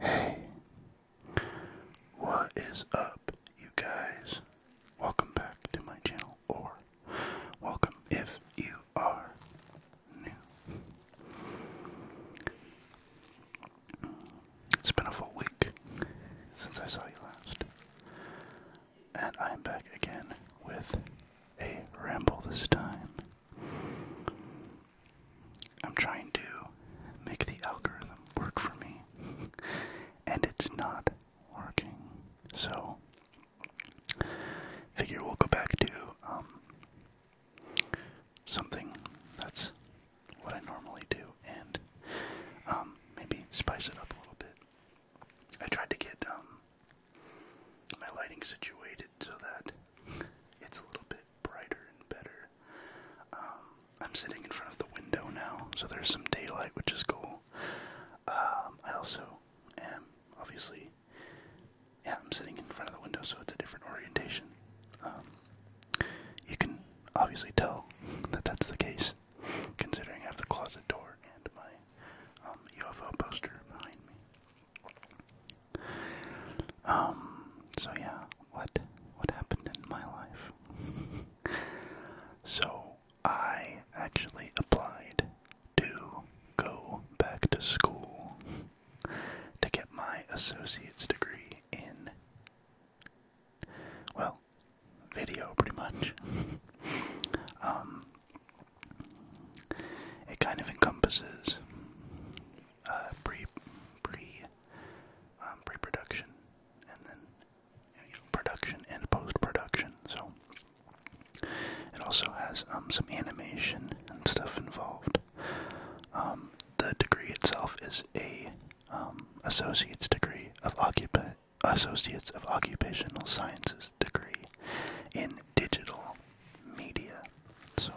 Hey, what is up, you guys? Welcome back to my channel, or welcome if you are new. It's been a full week since I saw you last, and I'm back again with a ramble this time. I'm trying to make the algorithm work for me, and it's not working. So, figure we'll go back to um, something that's what I normally do, and um, maybe spice it up a little bit. I tried to get um, my lighting situated so that it's a little bit brighter and better um, I'm sitting in front of the window now, so there's some daylight, which is cool. Um, I also am obviously, yeah, I'm sitting in front of the window, so it's a different orientation. Um, you can obviously tell that that's the case, considering I have the closet door and my UFO poster behind me. Um, so yeah, what what happened in my life? so I actually applied to go back to school to get my associate's degree in well, video pretty much. um it kind of encompasses uh, pre pre um, pre-production and then production and post-production. So it also has um, some animation and stuff involved. Um, the degree itself is a associate's degree of occupa associates of occupational sciences degree in digital media. So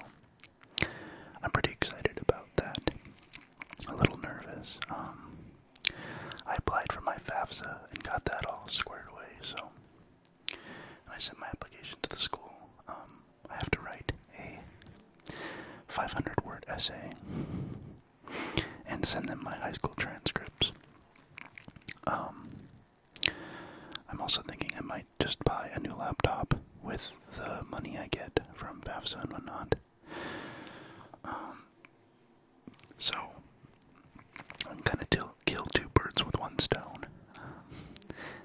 I'm pretty excited about that. A little nervous. Um, I applied for my FAFSA and got that all squared away, so. I sent my application to the school. Um, I have to write a 500 word essay and send them my high school transcripts. Um, I'm also thinking I might just buy a new laptop with the money I get from FAFSA and whatnot. Um, so, I am kind of kill two birds with one stone.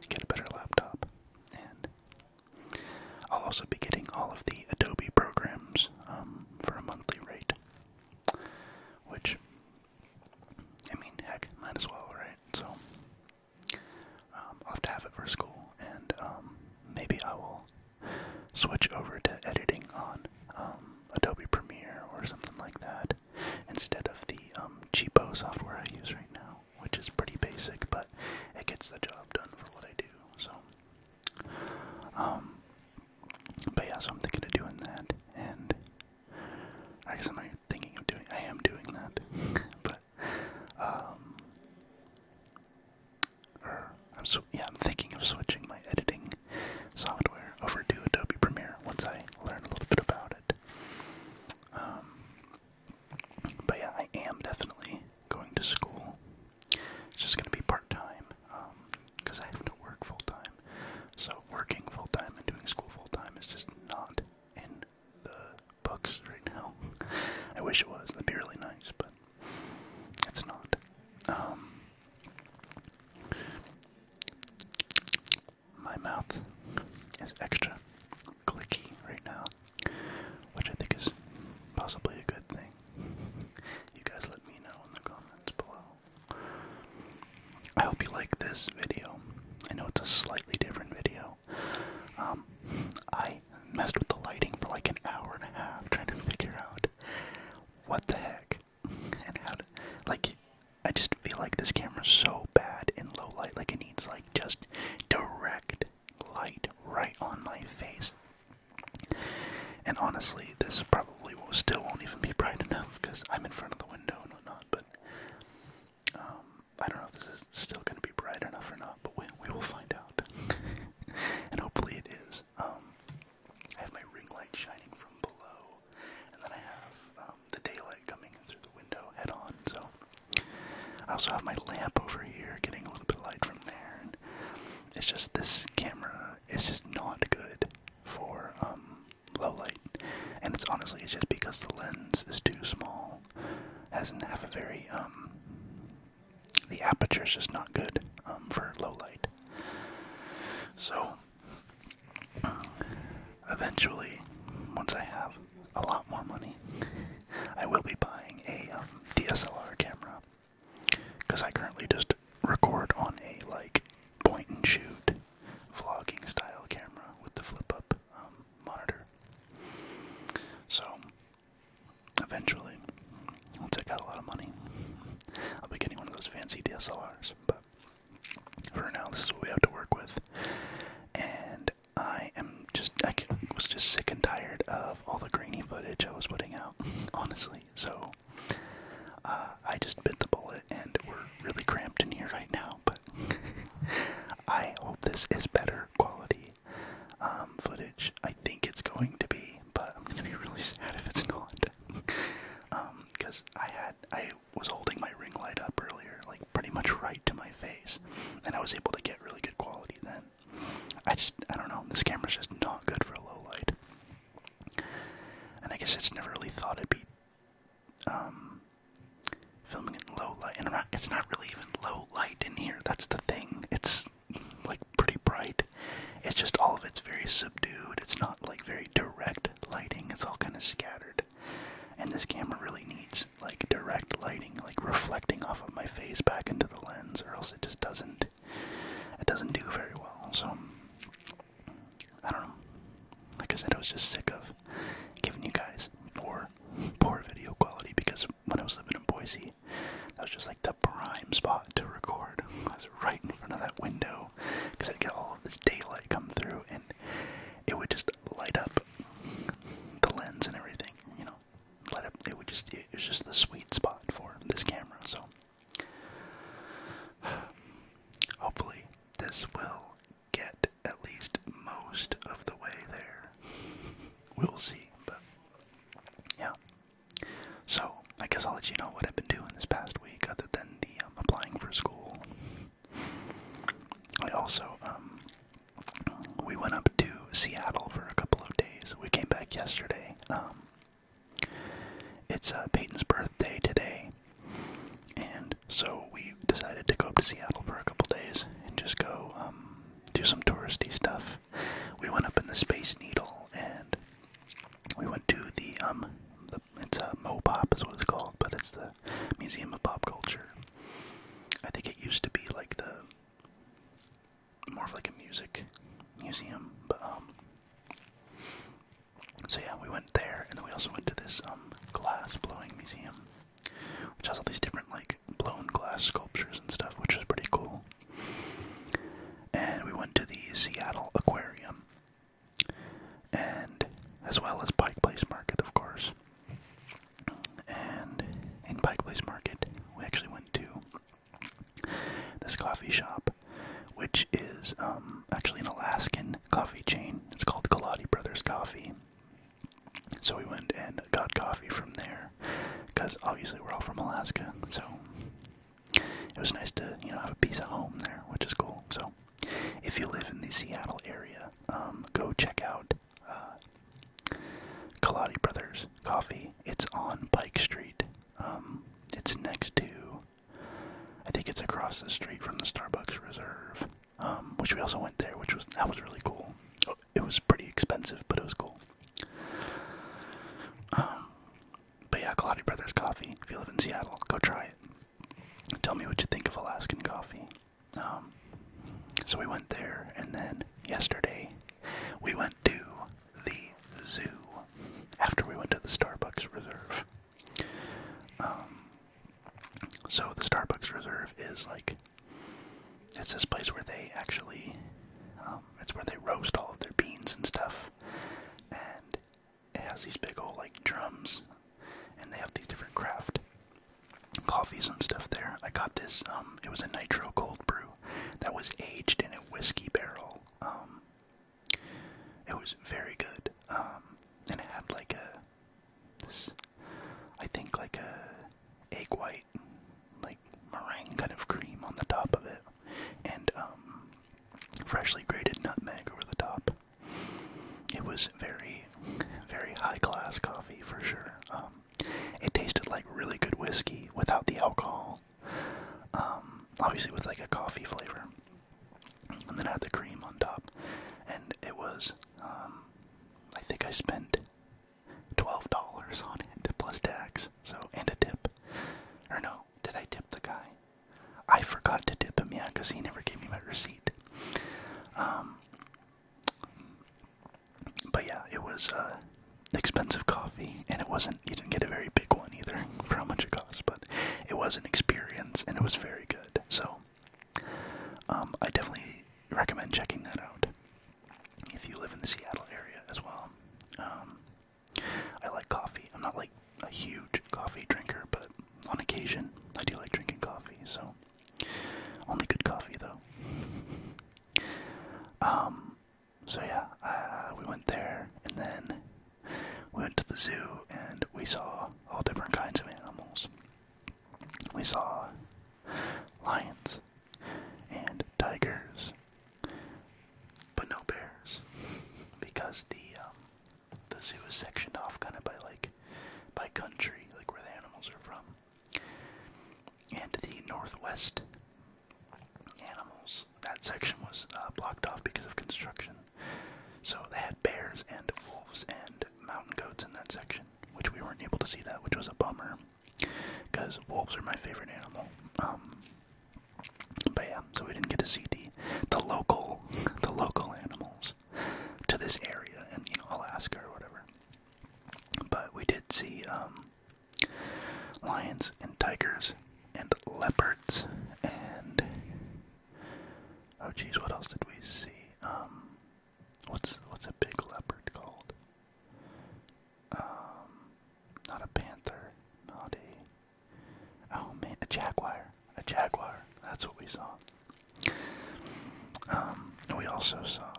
get a better laptop. And I'll also be getting all of the Adobe programs um, for a monthly rate. Which, I mean, heck, might as well, right? So, um, I'll have to have it for school, and um, maybe I will switch over to editing on um, Adobe Premiere or something like that instead of the cheapo software I use right now, which is pretty basic, but it gets the job done for what I do. So, but yeah, so I'm thinking of doing that, and I guess I'm thinking of doing. I am doing that, but um, I'm yeah, I'm thinking of switching my editing software over to Adobe Premiere once I learn a little bit about it. Um, but yeah, I am definitely going to school. It's just going to be part time because um, I have to work full time. So working full time and doing school full time is just not in the books right now. I wish it was. That'd be really nice, but it's not. Um, my mouth is extra clicky right now, which I think is possibly a good thing. you guys let me know in the comments below. I hope you like this video. I know it's a slightly different video um, I messed with the lighting for like an hour and a half trying to figure out what the heck and how to like I just feel like this camera's so bad in low light like it needs like just direct light right on my face. And honestly, this probably will, still won't even be bright enough because I'm in front of the window and whatnot. But um, I don't know if this still going to be bright enough or not, but we, we will find out. and hopefully it is. Um, I have my ring light shining from below, and then I have um, the daylight coming in through the window head on. So I also have my lamp over here, getting a little bit of light from there. it's just this camera is just not good for um, low light, and it's honestly it's just because the lens is too small. It doesn't have a very um, the aperture is just not good um, for low light. So eventually, once I have a lot more money, I will be buying a um, DSLR camera because I currently just record on a like point and shoot vlogging style camera with the flip up um, monitor. So Eventually, I'll take out a lot of money. I'll be getting one of those fancy DSLRs, but for now, this is what we have to work with. And I am just, I was just sick and tired of all the grainy footage I was putting out, honestly. So, uh, I just bit the bullet, and we're really cramped in here right now, but I hope this is better quality um, footage. I think it's going to be, but I'm gonna be really sad if it's not. Because um, I had I was holding my ring light up earlier, like pretty much right to my face, and I was able to get really good quality then. I just I don't know. This camera's just not good for low light, and I guess I just never really thought it'd be. Um, filming in low light, and i it's not really even low light in here. That's the thing. It's it's like pretty bright. It's just all of it's very subdued. It's not like very direct lighting. It's all kind of scattered. And this camera really needs like direct lighting, like reflecting off of my face back into the lens, or else it just doesn't it doesn't do very well. So I don't know. Like I said, I was just sick of giving you guys poor poor video quality because when I was living in Boise. That was just like the prime spot to record. I was right in front of that window because I'd get all of this daylight come through and it would just light up the lens and everything, you know. Light up it would just it was just the sweet spot for this camera, so hopefully this will get at least most of the way there. We'll see, but yeah. So I guess I'll let you know what I've been doing this past week, other than the um, applying for school. I also um, we went up to Seattle for a couple of days. We came back yesterday. Um, it's uh, Peyton's birthday today, and so we decided to go up to Seattle for a couple days and just go do some touristy stuff. We went up in the Space Needle and we went to the um, it's a uh, Mopop is what it's called, but it's the Museum of Pop Culture. I think it used to be like the more of like a music museum, but um. So yeah, we went there, and then we also went to this um, glass blowing museum, which has all these different like blown glass sculptures and stuff, which was pretty cool. And we went to the Seattle Aquarium, and as well as Pike Place Market, of course. And in Pike Place Market, we actually went to this coffee shop, which is um, actually an Alaskan coffee chain. It's called Galati Brothers Coffee. So we went and got coffee from there because obviously we're all from Alaska, so it was nice to you know have a piece of home there, which is cool. So if you live in the Seattle area, um, go check out uh, Kaladi Brothers Coffee. It's on Pike Street. Um, it's next to, I think it's across the street from the Starbucks Reserve, um, which we also went there, which was that was really cool. Oh, it was pretty expensive, but it was cool. Um, but yeah, Kaladi Brothers coffee. If you live in Seattle, go try it. Tell me what you think of Alaskan coffee. Um, so we went there, and then yesterday we went to the zoo after we went to the Starbucks Reserve. Um, so the Starbucks Reserve is like it's this place where they actually, um, it's where they roast all of their beans and stuff. And it has these big old like drums, and they have these different craft coffees and stuff there. I got this. Um, it was a nitro cold brew that was aged in a whiskey barrel. Um, it was very good. and it had like a, this, I think like a egg white, like meringue kind of cream on the top of it, and um, freshly grated nutmeg over the top. It was very, very high class coffee for sure. Um, it tasted like really good whiskey without the alcohol. Um, obviously with like a coffee flavor, and then I had the cream on top, and it was. I think I spent twelve dollars on it plus tax. So and a tip. Or no, did I tip the guy? I forgot to tip him, yeah, because he never gave me my receipt. Um, but yeah, it was uh, expensive coffee, and it wasn't. You didn't get a very big one either for how much it cost, but it was an experience, and it was very good. So, um, I definitely recommend checking that out if you live in the Seattle area as well. Um, I like coffee. I'm not like a huge coffee drinker, but on occasion I do like drinking coffee. So only good coffee though. Um, so yeah, uh, we went there, and then we went to the zoo, and we saw all different kinds of animals. We saw lions and tigers, but no bears, because the um, the zoo is sectioned off kind of by like by country, like where the animals are from, and the northwest animals. That section was uh, blocked off because of construction, so they had bears and wolves and mountain goats in that section, which we weren't able to see that, which was a bummer because wolves are my favorite animal. Um, but yeah, so we didn't get to see the the local the local animals to this area and Alaska or whatever. But we did see um, lions and tigers and leopards and oh geez, what else did we see? Um, what's what's a big leopard called? Not a panther. Not a. Oh man, a jaguar. A jaguar. That's what we saw. Um, we also saw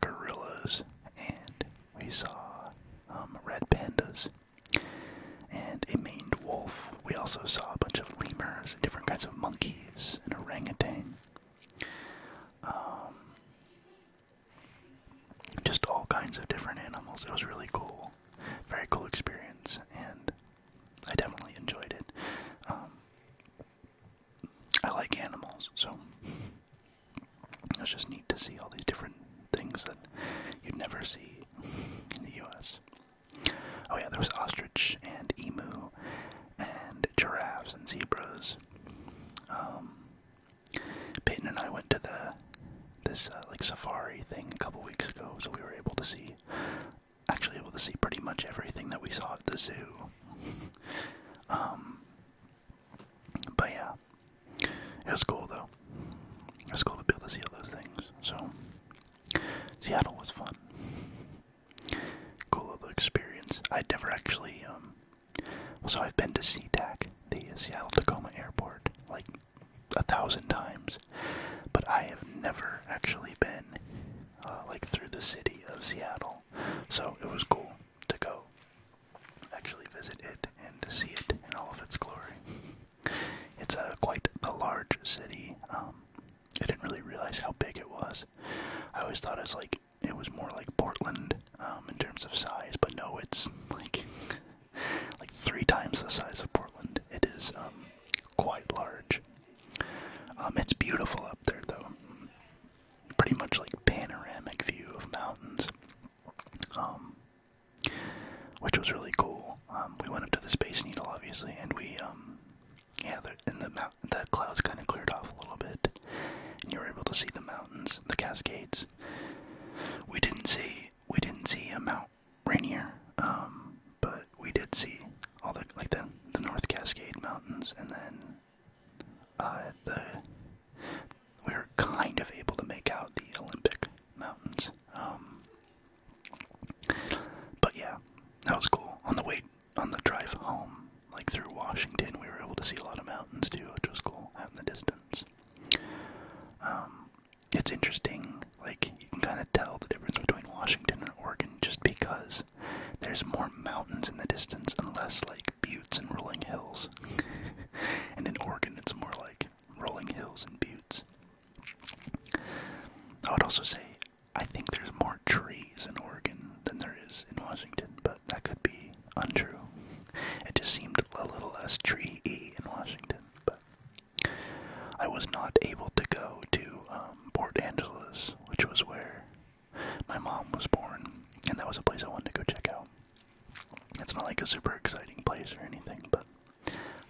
gorillas, and we saw um, red pandas, and a maned wolf. We also saw a bunch of lemurs, and different kinds of monkeys, and orangutan. Um, just all kinds of different animals. It was really cool, very cool experience, and I definitely enjoyed it. Um, I like animals, so it was just neat to see all these different things that you'd never see in the U.S. Oh yeah, there was ostrich and emu and giraffes and zebras. Um, Peyton and I went to the this uh, like safari thing a couple weeks ago, so we were able to see actually able to see pretty much everything that we saw at the zoo. um, but yeah, it was cool though. It was cool to be able to see all those things. So Seattle was fun. Cool little experience. I'd never actually um, so I've been to SeaTac, the Seattle Tacoma Airport, like a thousand times, but I have never actually been uh, like through the city of Seattle. So it was cool to go actually visit it and to see it in all of its glory. It's a quite a large city. Um, I didn't really realize how big it was. I always thought it was like it was more like Portland um, in terms of size, but no, it's like like three times the size of Portland. It is um, quite large. Um, it's beautiful up there, though. Pretty much like panoramic view of mountains, which was really cool. we went up to the Space Needle, obviously, and we yeah, and the the clouds kind of cleared off a little bit, and you were able to see the mountains, the Cascades, we didn't see we didn't see a Mount Rainier, um, but we did see all the like the the North Cascade Mountains, and then uh, the we were kind of able to make out the Olympic Mountains. Um, but yeah, that was cool. On the way on the drive home, like through Washington, we were able to see a lot of mountains too, which was cool out in the distance. Um, it's interesting, like, you can kind of tell the difference between Washington and Oregon just because there's more mountains in the distance and less, like, buttes and rolling hills. and in Oregon, it's more like rolling hills and buttes. I would also say I think there's more trees in Oregon than there is in Washington, but that could be untrue. It just seemed a little less tree y in Washington. But I was not able to go to um, Port Angeles, which was where my mom was born, and that was a place I wanted to go check out. It's not like a super exciting place or anything, but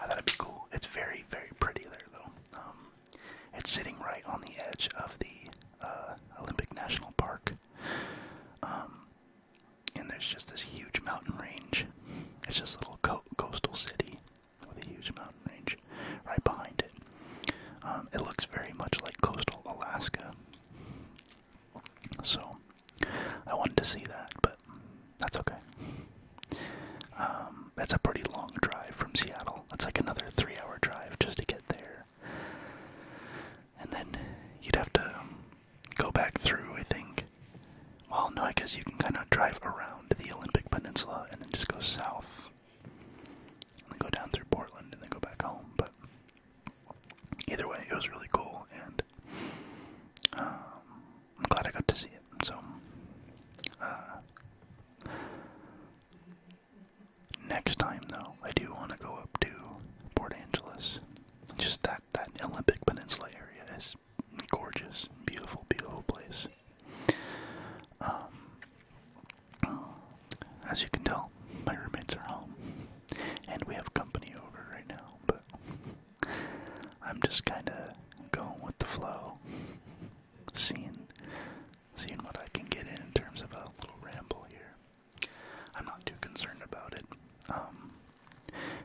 I thought it'd be cool. It's very, very pretty there, though. Um, it's sitting right on the edge of the uh, Olympic National Park. Um, and there's just this huge mountain range. It's just a little coastal city with a huge mountain range right behind it. Um, it looks very much like coastal Alaska. So I wanted to see that, but that's okay. that's um, a pretty long drive from Seattle. That's like another three hour drive just to get there. And then you'd have to go back through, I think. Well, no, I guess you can kind of drive around the Olympic Peninsula and then just go south. And then go down through Portland and then go back home. But either way, it was really cool, and um, I'm glad I got to see it. So, uh, next time, though, I do want to go up to Port Angeles just that that Olympic Peninsula area is gorgeous, beautiful, beautiful place. Um, as you can tell, my roommates are home, and we have company over right now. But I'm just kind of going with the flow, seeing seeing what I can get in terms of a little ramble here. I'm not too concerned about it. Um,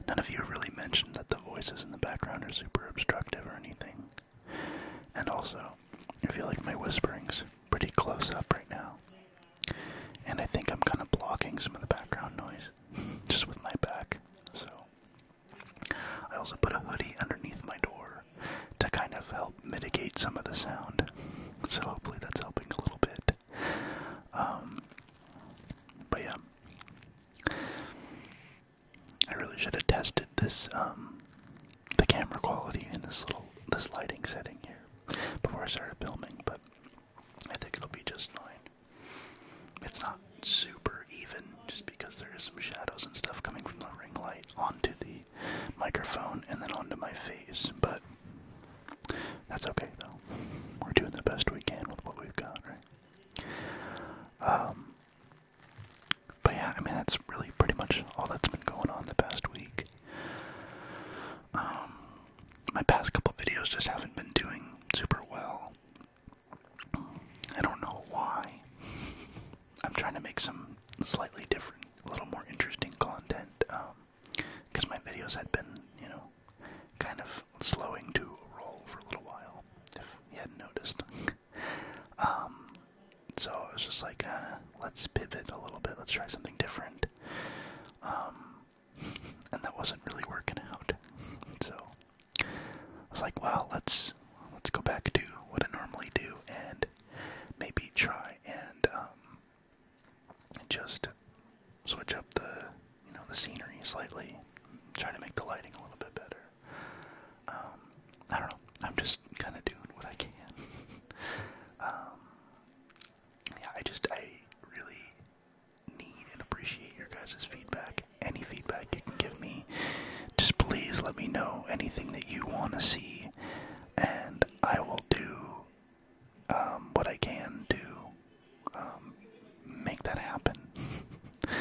none of you really mentioned that the voices in the background are super obstructive or anything. And also, I feel like my whispering's pretty close up right now. And I think I'm kind of blocking some of the background noise just with my back. So, I also put a hoodie underneath my door to kind of help mitigate some of the sound. So, hopefully, that's helping a little bit. Um, but yeah, I really should have tested this um, the camera quality in this little this lighting setting here before I started filming. But I think it'll be just fine. It's not super even just because there is some shadows and stuff coming from the ring light onto the microphone and then onto my face, but that's okay though. We're doing the best we can with what we've got, right? Um, but yeah, I mean that's really pretty much all that's been going on the past week. Um, my past couple videos just haven't been doing super well. I don't know why. I'm trying to make some slightly different, a little more interesting content. Um, because my videos had been, you know, kind of slowing to a roll for a little while, if you hadn't noticed. Um, so I was just like, uh, let's pivot a little bit, let's try something different. Um, and that wasn't really working out. so I was like, well, let's let's go back to what I normally do and maybe try and um, just switch up the you know the scenery slightly, try to make the lighting a little bit better. Um, I don't know. I'm just kind of doing what I can. Um, yeah, I just I really need and appreciate your guys' feedback. Any feedback you can give me, just please let me know anything that you want to see, and I will do um, what I can do, um, make that happen.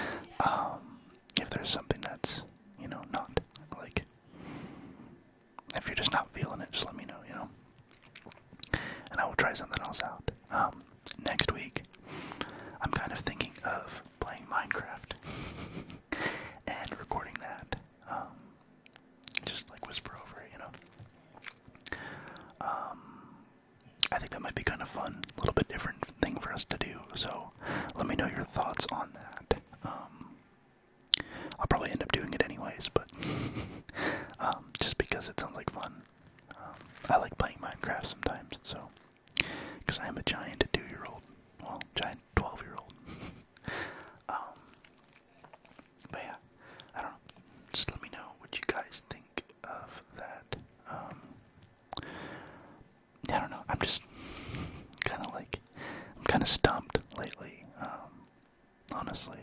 Um, if there's something that's, you know, not like, if you're just not feeling it, just let me know, you know? And I will try something else out. next week, I'm kind of thinking of playing Minecraft and recording that. just like whisper over it, you know? Um, I think that might be kind of fun, a little bit different thing for us to do. So let me know your thoughts on that. Um, I'll probably end up doing it anyways, but um, just because it sounds like fun. I like playing Minecraft sometimes, so because I am a giant two-year-old, well, giant twelve-year-old. But yeah, I don't know. Just let me know what you guys think of that. Um, I don't know. I'm just kind of like, I'm kind of stumped lately. Um, honestly,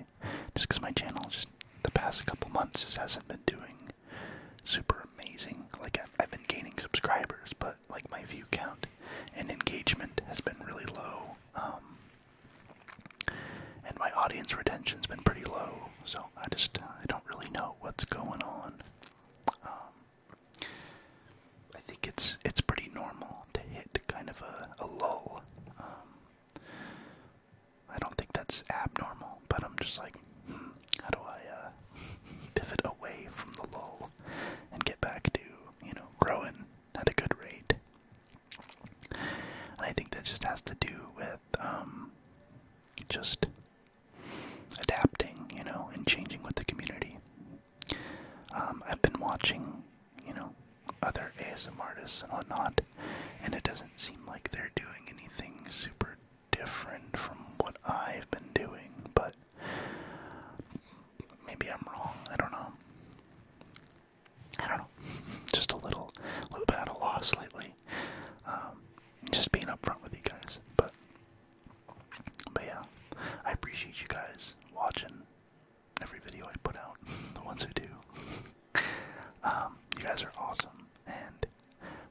just because my channel just the past couple months just hasn't been doing super amazing. Like I've, been gaining subscribers, but like my view count and engagement has been really low. Um, and my audience retention's been pretty low, so I just uh, I don't really know what's going on. Um, I think it's it's pretty normal to hit kind of a, a lull. Um, I don't think that's abnormal, but I'm just like, hmm, how do I uh, pivot away from the lull and get back to you know growing at a good rate? I think that just has to do with um, just adapting, you know, and changing with the community. Um, I've been watching, you know, other ASM artists and whatnot, and it doesn't seem like they're doing anything super different from what I've been doing, but maybe I'm wrong. I don't know. I don't know, just a little, a little bit at a loss lately. Um, just being upfront with you guys, but, but yeah, I appreciate you guys watching every video I put out. The ones who do, um, you guys are awesome, and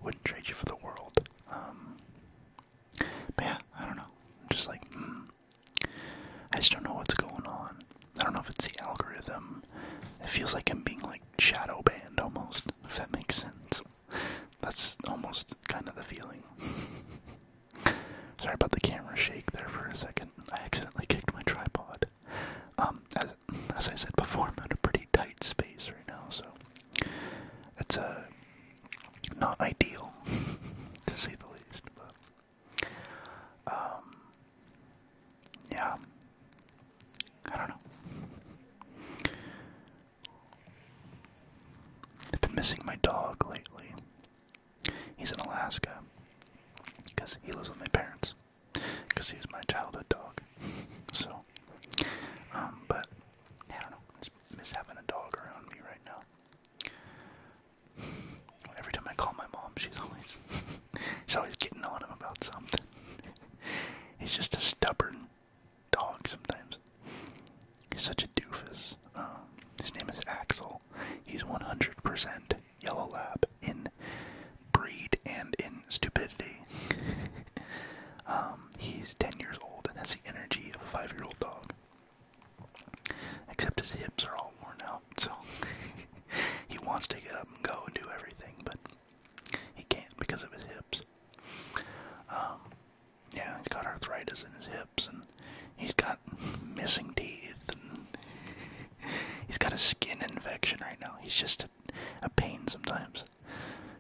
wouldn't trade you for the world. Um, but yeah, I don't know. just like, hmm, I just don't know what's going on. I don't know if it's the algorithm. It feels like I'm being like shadow banned almost, if that makes sense. That's almost kind of the feeling. Sorry about the camera shake there for a second. I accidentally kicked my tripod. Um, as, I said before, I'm in a pretty tight space right now, so it's uh, not ideal, to say the least. But, um, yeah, I don't know. I've been missing my dog lately. He's in Alaska because he lives with my parents because he was my childhood dog. so, um, but I don't know. just miss having a dog around me right now. Every time I call my mom, she's always she's always getting on him about something he's just a stubborn dog sometimes. He's such a doofus. Um, his name is Axel. He's 100% yellow lab in breed and in stupidity. Um, he's 10 years old and has the energy of a five year old dog. Except his hips are all worn out, so he wants to get up and go and do everything, but he can't because of his hips. Um, yeah, he's got arthritis in his hips, and he's got missing teeth, he's got a skin infection right now. He's just a, a pain sometimes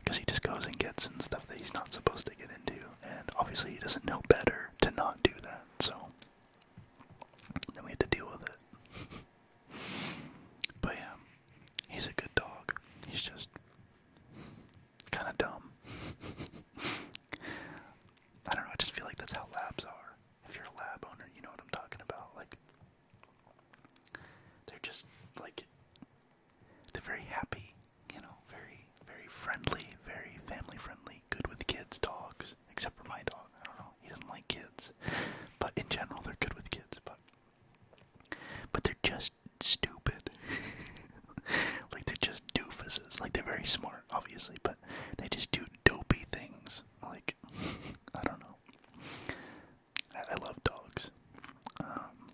because he just goes and gets in stuff that he's not supposed to get into, and obviously he doesn't know better to not do that, so then we had to deal with it. But yeah, he's a good dog. He's just kind of dumb. I don't know, I just feel like that's how labs are. If you're a lab owner, you know what I'm talking about. Like, they're just like, they're very happy, you know, very, very friendly, very family friendly, good with kids, dogs, except for my dog. I don't know, he doesn't like kids. But in general, they're good with kids, but but they're just stupid. like they're just doofuses. Like they're very smart, obviously, but they just do dopey things. Like I don't know. I, love dogs. Um,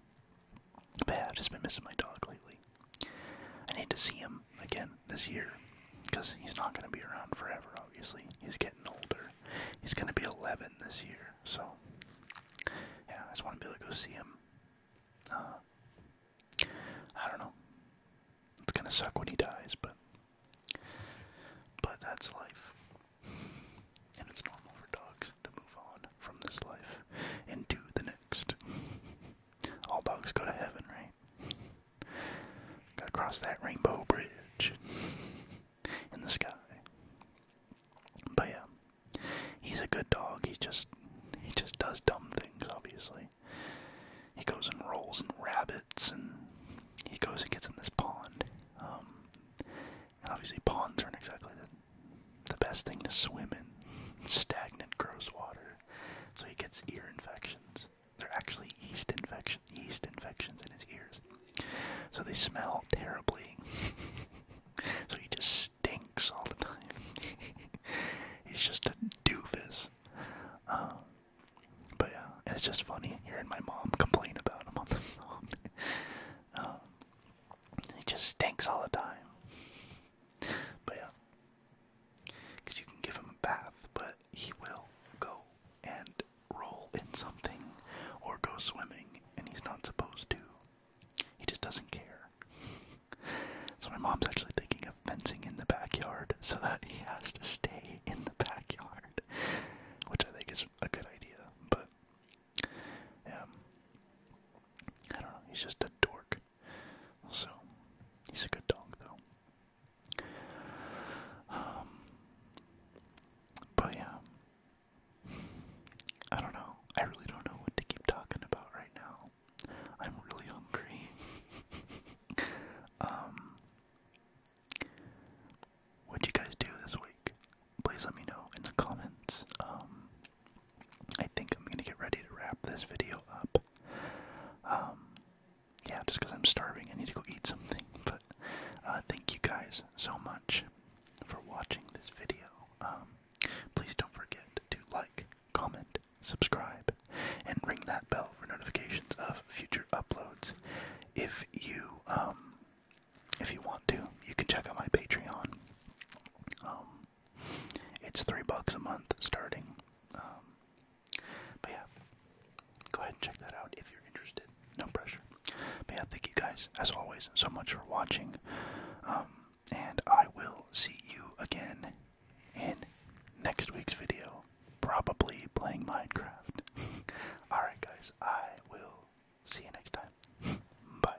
yeah, I've just been missing my dog lately. I need to see him again this year because he's not going to be around forever. Obviously, he's getting older. He's gonna be 11 this year, so yeah, I just want to be able to go see him. Uh, I don't know. It's gonna suck when he dies, but but that's life, and it's normal for dogs to move on from this life into the next. All dogs go to heaven, right? Gotta cross that rainbow bridge in the sky. But yeah, he's a good dog. He just he just does dumb things. Obviously, he goes and rolls in rabbits, and he goes and gets in this pond. Um, and obviously, ponds aren't exactly the the best thing to swim in. Stagnant, gross water. So he gets ear infections. They're actually yeast infections yeast infections in his ears. So they smell terribly. so he just stinks all the time. He's just a doofus. Um, but yeah, and it's just funny hearing my mom complain about him um, he just stinks all the time. But yeah, you can give him a bath, but he will go and roll in something or go swimming, and he's not supposed to. He just doesn't care. so my mom's actually thinking of fencing in the backyard so that he has to stay in the backyard, which I think is a good idea, but um, I don't know, he's just a dork. So, he's a good dog though. Um, but yeah, I don't know. I really don't know what to keep talking about right now. I'm really hungry. um, what'd you guys do this week? Please let me know in the comments. Um, I think I'm gonna get ready to wrap this video up. Um, yeah, just because I'm starving, I need to go eat something. But uh, thank you guys so much much for watching this video. Um, please don't forget to like, comment, subscribe, and ring that bell for notifications of future uploads. If you um, if you want to, you can check out my Patreon. Um, it's three bucks a month starting. but yeah, go ahead and check that out if you're interested no pressure. Man, thank you guys, as always, so much for watching. Um, and I will see you again in next week's video. Probably playing Minecraft. Alright, guys, I will see you next time. Bye.